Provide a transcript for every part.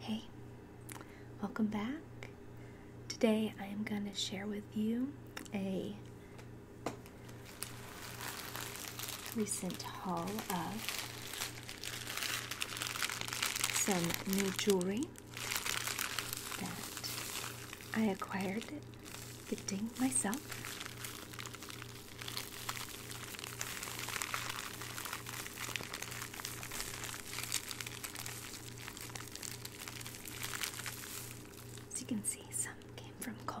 Hey, welcome back. Today I am going to share with you a recent haul of some new jewelry that I acquired gifting myself. As you can see, some came from Coles.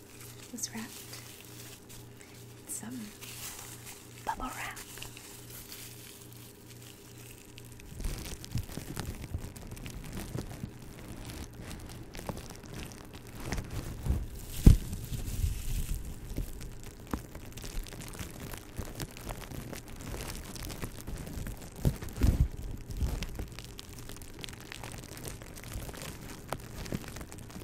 was wrapped in some bubble wrap.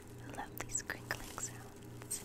I love these crinkling sounds.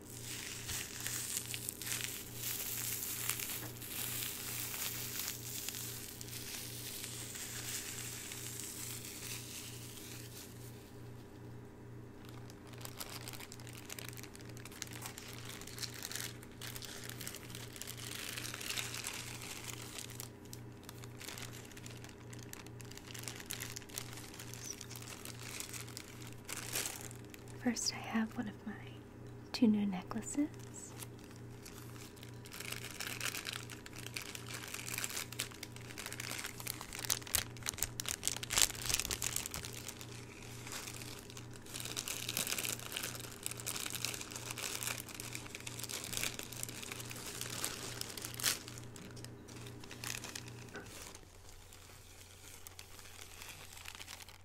First, I have one of my two new necklaces.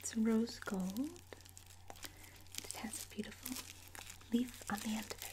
It's rose gold. It has a beautiful leaf on the end of it.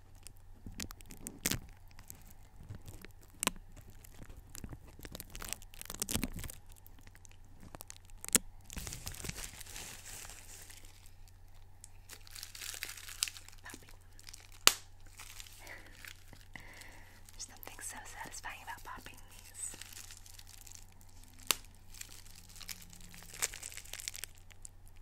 There's something so satisfying about popping these.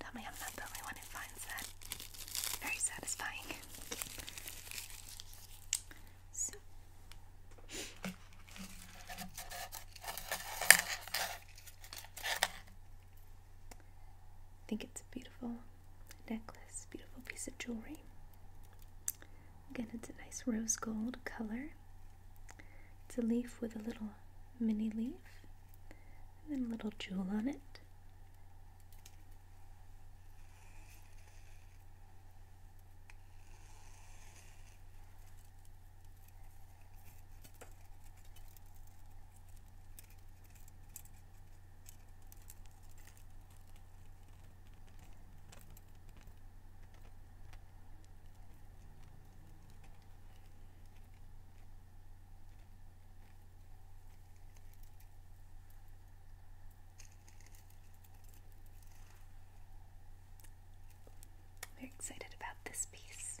Tell me I'm not the only one who finds that very satisfying. So. I think it's a beautiful necklace, beautiful piece of jewelry. Again, it's a nice rose gold color. It's a leaf with a little mini leaf and then a little jewel on it. We're excited about this piece.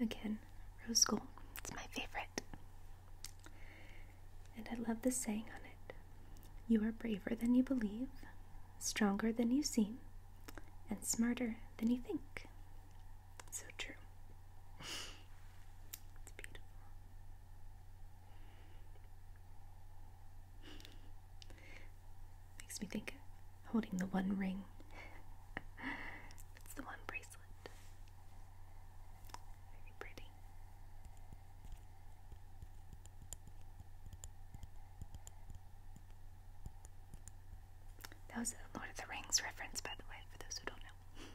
Again, rose gold. It's my favorite. And I love the saying on it You are braver than you believe, stronger than you seem, and smarter than you think. So true. it's beautiful. Makes me think of holding the one ring. it's the one bracelet. Very pretty. That was a Lord of the Rings reference, by the way, for those who don't know.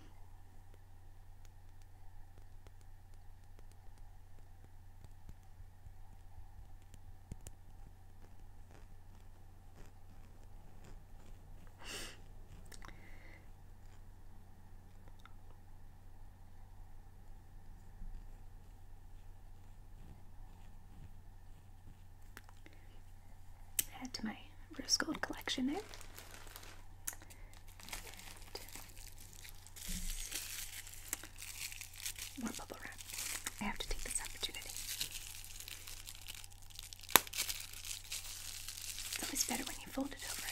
Add to my rose gold collection there more bubble wrap. I have to take this opportunity. always better when you fold it over, I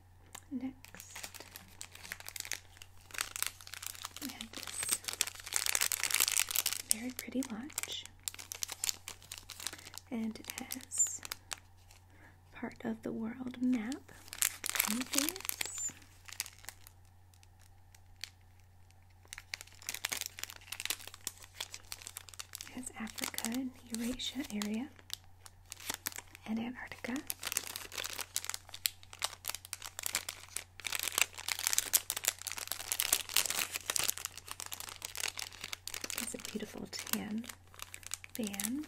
Next, we had this very pretty watch, and it has part of the world map on It has Africa and Eurasia area and Antarctica. It's a beautiful tan band.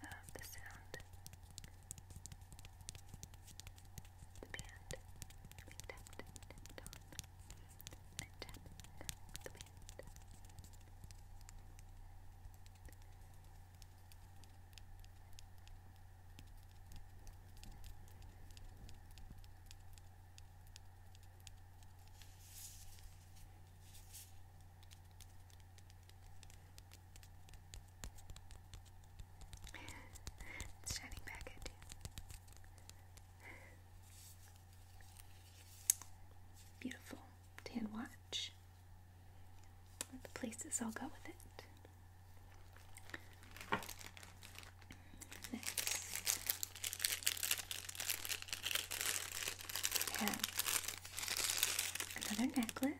I love the sound the band being tapped and tapped on and tapping the band it's shining back at you. Beautiful tan watch the places I'll go with it. Next, another necklace.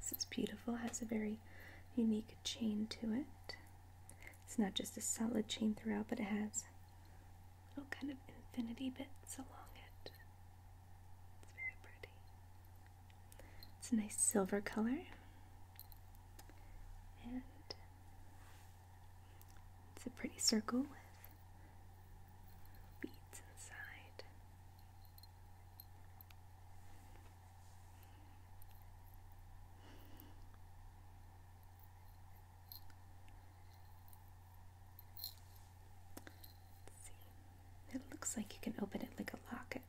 This is beautiful, has a very unique chain to it. It's not just a solid chain throughout, but it has little kind of infinity bits along it. It's very pretty. It's a nice silver color. And it's a pretty circle with beads inside. It looks like you can open it like a locket.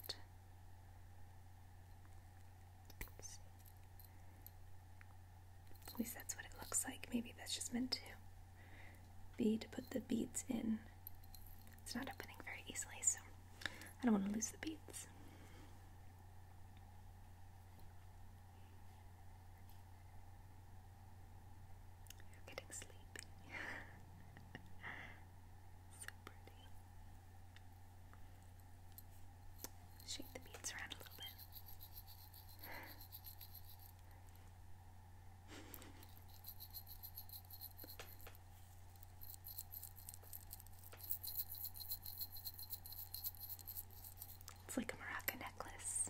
At least that's what it looks like. Maybe that's just meant to be to put the beads in. It's not opening very easily, so I don't want to lose the beads. You're getting sleepy. so pretty. Shake the beads around a little bit. It's like a maraca necklace.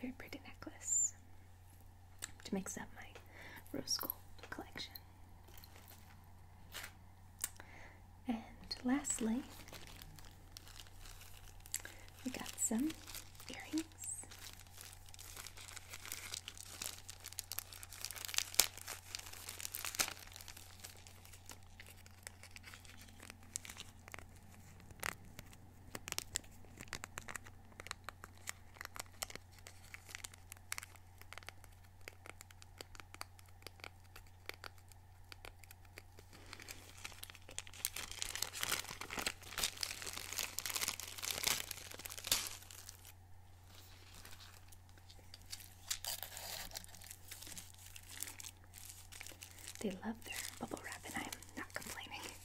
Very pretty necklace to mix up my rose gold collection. And lastly, we got some earrings. They love their bubble wrap, and I'm not complaining.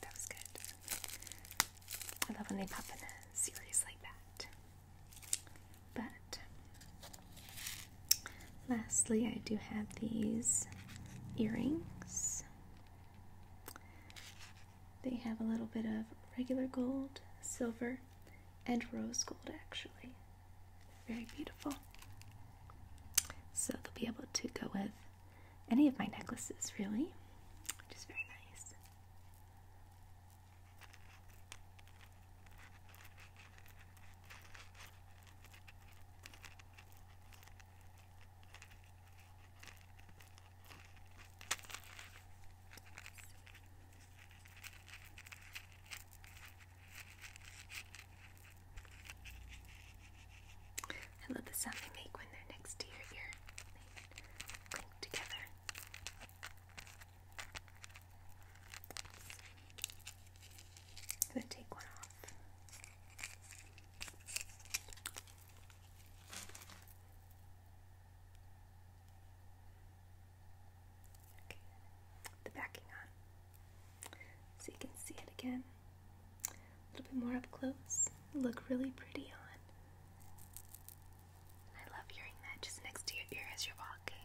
That was good. I love when they pop in a series like that. But Lastly, I do have these earrings. They have a little bit of regular gold, silver, and rose gold actually. They're very beautiful. So they'll be able to go with any of my necklaces really, which is very nice. I love the sound they make when they're next to your ear. They clink together. I'm going to take one off. The backing on. So you can see it again. A little bit more up close. Look really pretty on. I love hearing that just next to your ear as you're walking.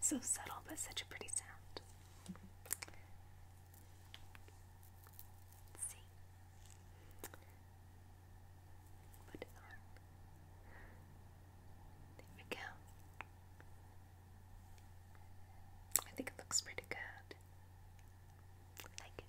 So subtle, but such a pretty sound. see. Put it on. There we go. I think it looks pretty good. like it.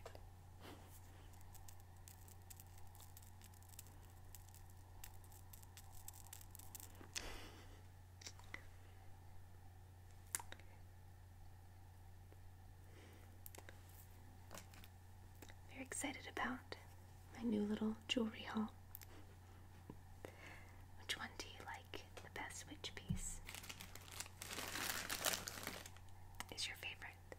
Very excited about my new little jewelry haul. Which one do you like the best? Which piece is your favorite?